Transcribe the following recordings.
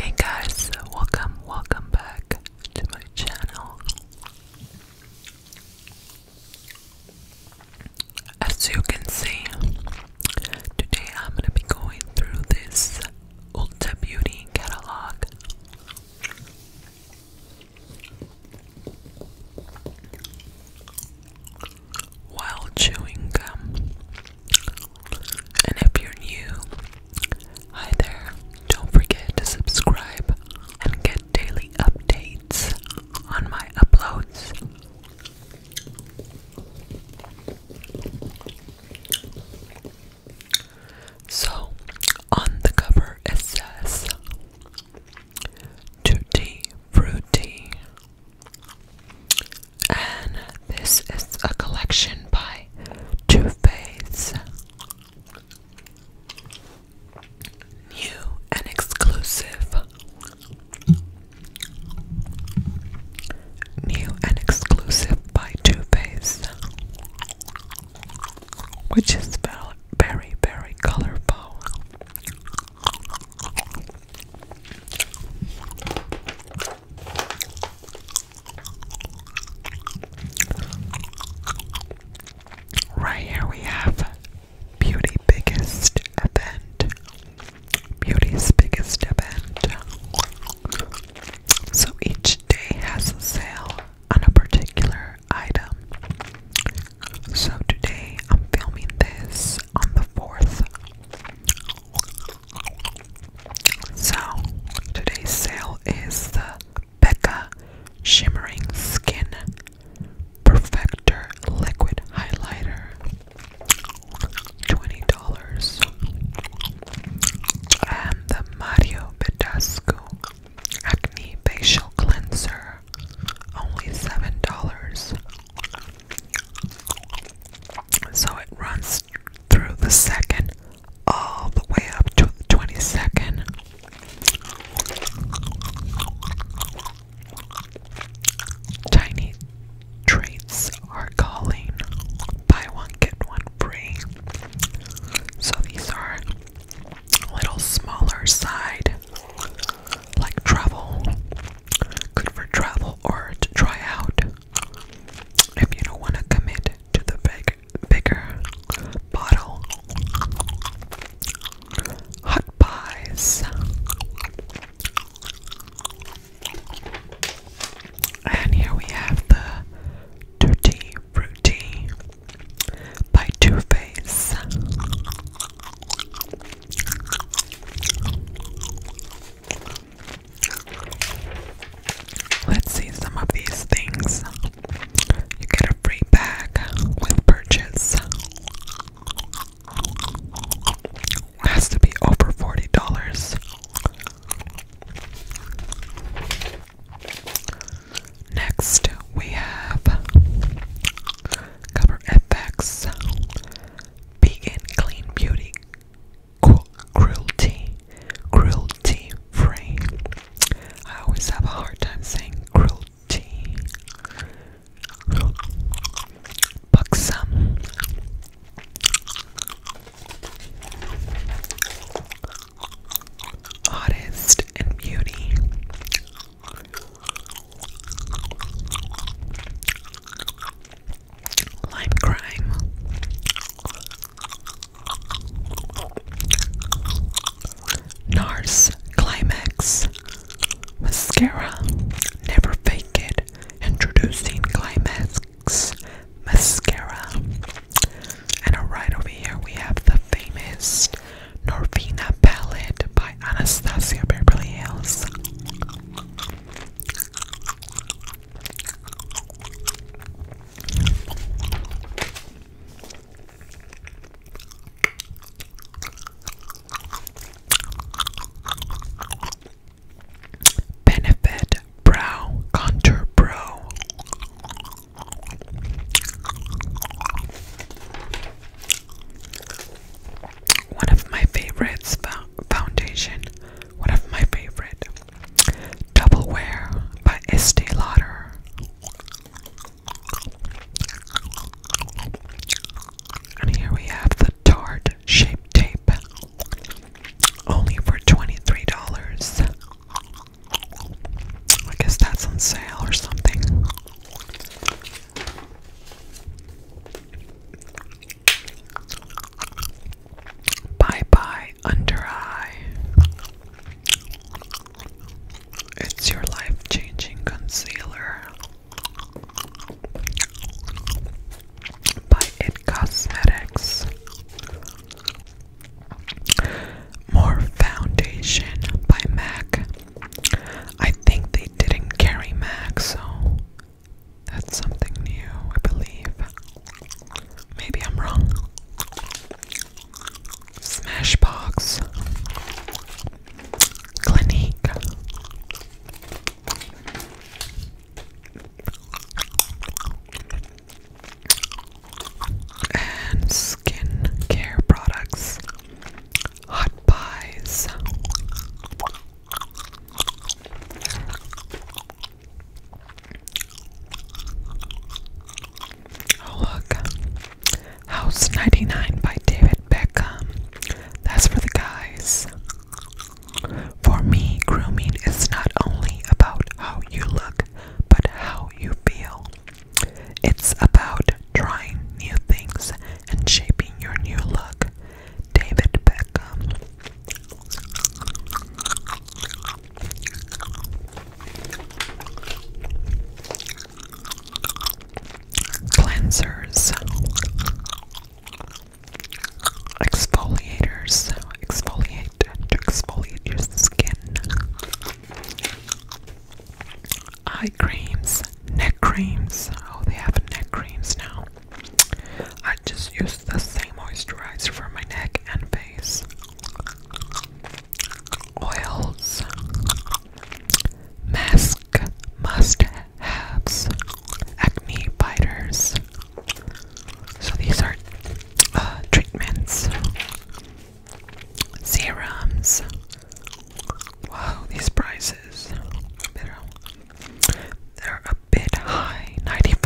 Hey guys, welcome, welcome back to my channel. As you can see, Today I'm gonna be going through this Ulta Beauty catalog. While chewing gum. And if you're new, hi there. Don't forget to subscribe and get daily updates on my uploads. So, on the cover it says Tutti Frutti, and this is a collection by Two Faced. New and exclusive New and exclusive by Too Faced, which is very, very colorful. Right here we have Beauty Biggest Event Beauty's biggest event. So each day has a sale on a particular item. So today I'm filming this on the 4th. So today's sale is the Becca Shimmering Skin Perfector Liquid Highlighter. $20. And the Mario Badescu Acne Facial Cleanser, only $7. So it runs through the second, all the way up to the 22nd. Tiny treats are calling. Buy one, get one free. So these are a little smaller side, like travel. Good for travel or to try out. If you don't want to commit to the big, bigger bottle. Hot pies. And here we have the Dirty Fruity by Too Faced. Let's see some of these things. You get a free bag with purchase. Has to be over forty dollars. Next, we have Cover FX Vegan Clean Beauty Cruelty Cruelty Free. I always have a hard time saying cruelty tea. Buxom. Artist and beauty. Lime crime. NARS Climax Mascara, never fake it. Introducing Climax Mascara. And right over here we have the famous Norvina palette by Anastasia Beverly Hills. Benefit Brow Contour Pro. One of my favorites, foundation. One of my favorite. Double Wear by Estee Lauder. And here we have the tart shaped tape, only for $23. I guess that's on sale or something. Bye bye, under eye. It's your life changing concealer by It Cosmetics. More foundation by MAC. I think they didn't carry MAC, so that's something new, I believe. Maybe I'm wrong. Smashbox, Clinique, and skin care products, hot pies. Oh, look. House 99 by David Beckham. That's for the guys. For me, grooming is not only about how you look, but how you feel. It's about trying new things and shaping your new look. David Beckham cleansers, exfoliators, exfoliate exfoliate your skin, eye creams, neck creams. Oh, they have neck creams now. I just use the same moisturizer for my neck and face oils, mask must have, acne fighters. So these are uh, treatments, serums. Wow, these prices. They're a bit high. $95,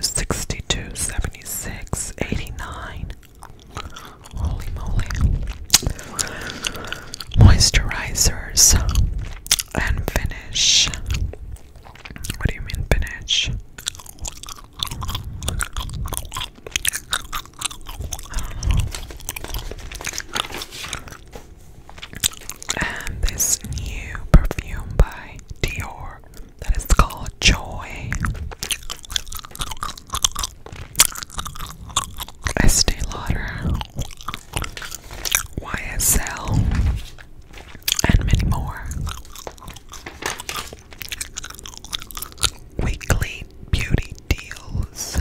$62, 76 $89. Holy moly. Moisturizers and finish. What do you mean, finish? And this new perfume by Dior that is called Joy. Estee Lauder, YSL, and many more. Weekly beauty deals.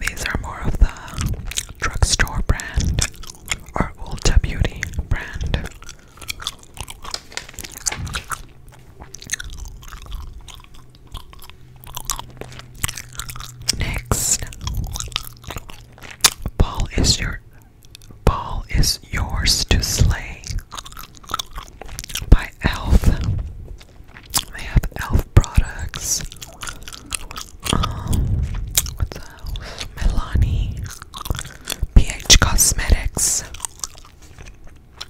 These are more of the drugstore brand or Ulta Beauty brand. Next, Paul is your Paul is yours to slay by Elf. They have Elf products. Um, what's Melanie, PH Cosmetics,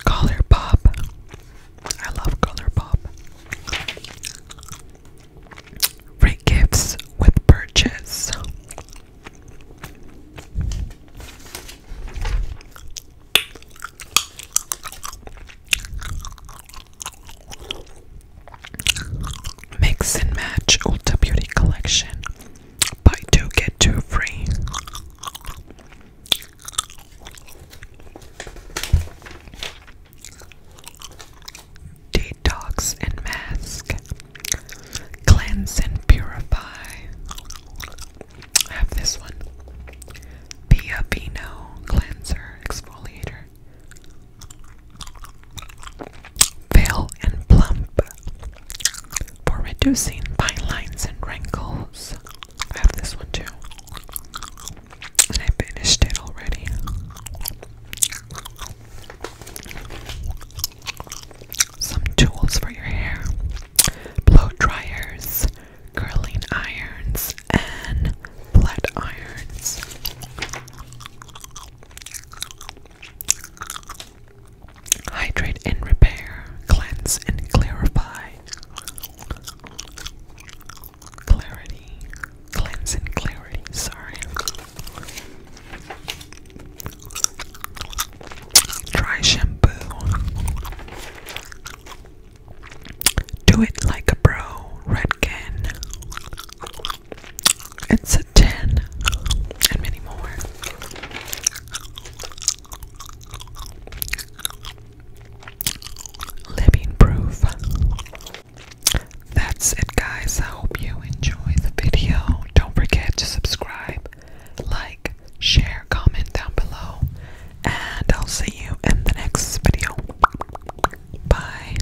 Color I love Color Free gifts with purchase. Mix and match Ulta Beauty Collection. Buy two, get two free. Detox and mask. Cleanse and purify. have this one. Pia Vino cleanser exfoliator. Veil and plump for reducing fine lines and wrinkles. I have this one too. And I finished it already. Some tools for your hair. Blow dryers, curling irons, and flat irons. Hydrate and repair, cleanse and clarify. Clarity, cleanse and clarity, sorry. Dry shampoo. Do it like a bro, Redken. It's a 10 and many more. Living proof. That's it, guys. I hope you enjoy the video. Don't forget to subscribe, like, share, comment down below, and I'll see you in the next video. Bye.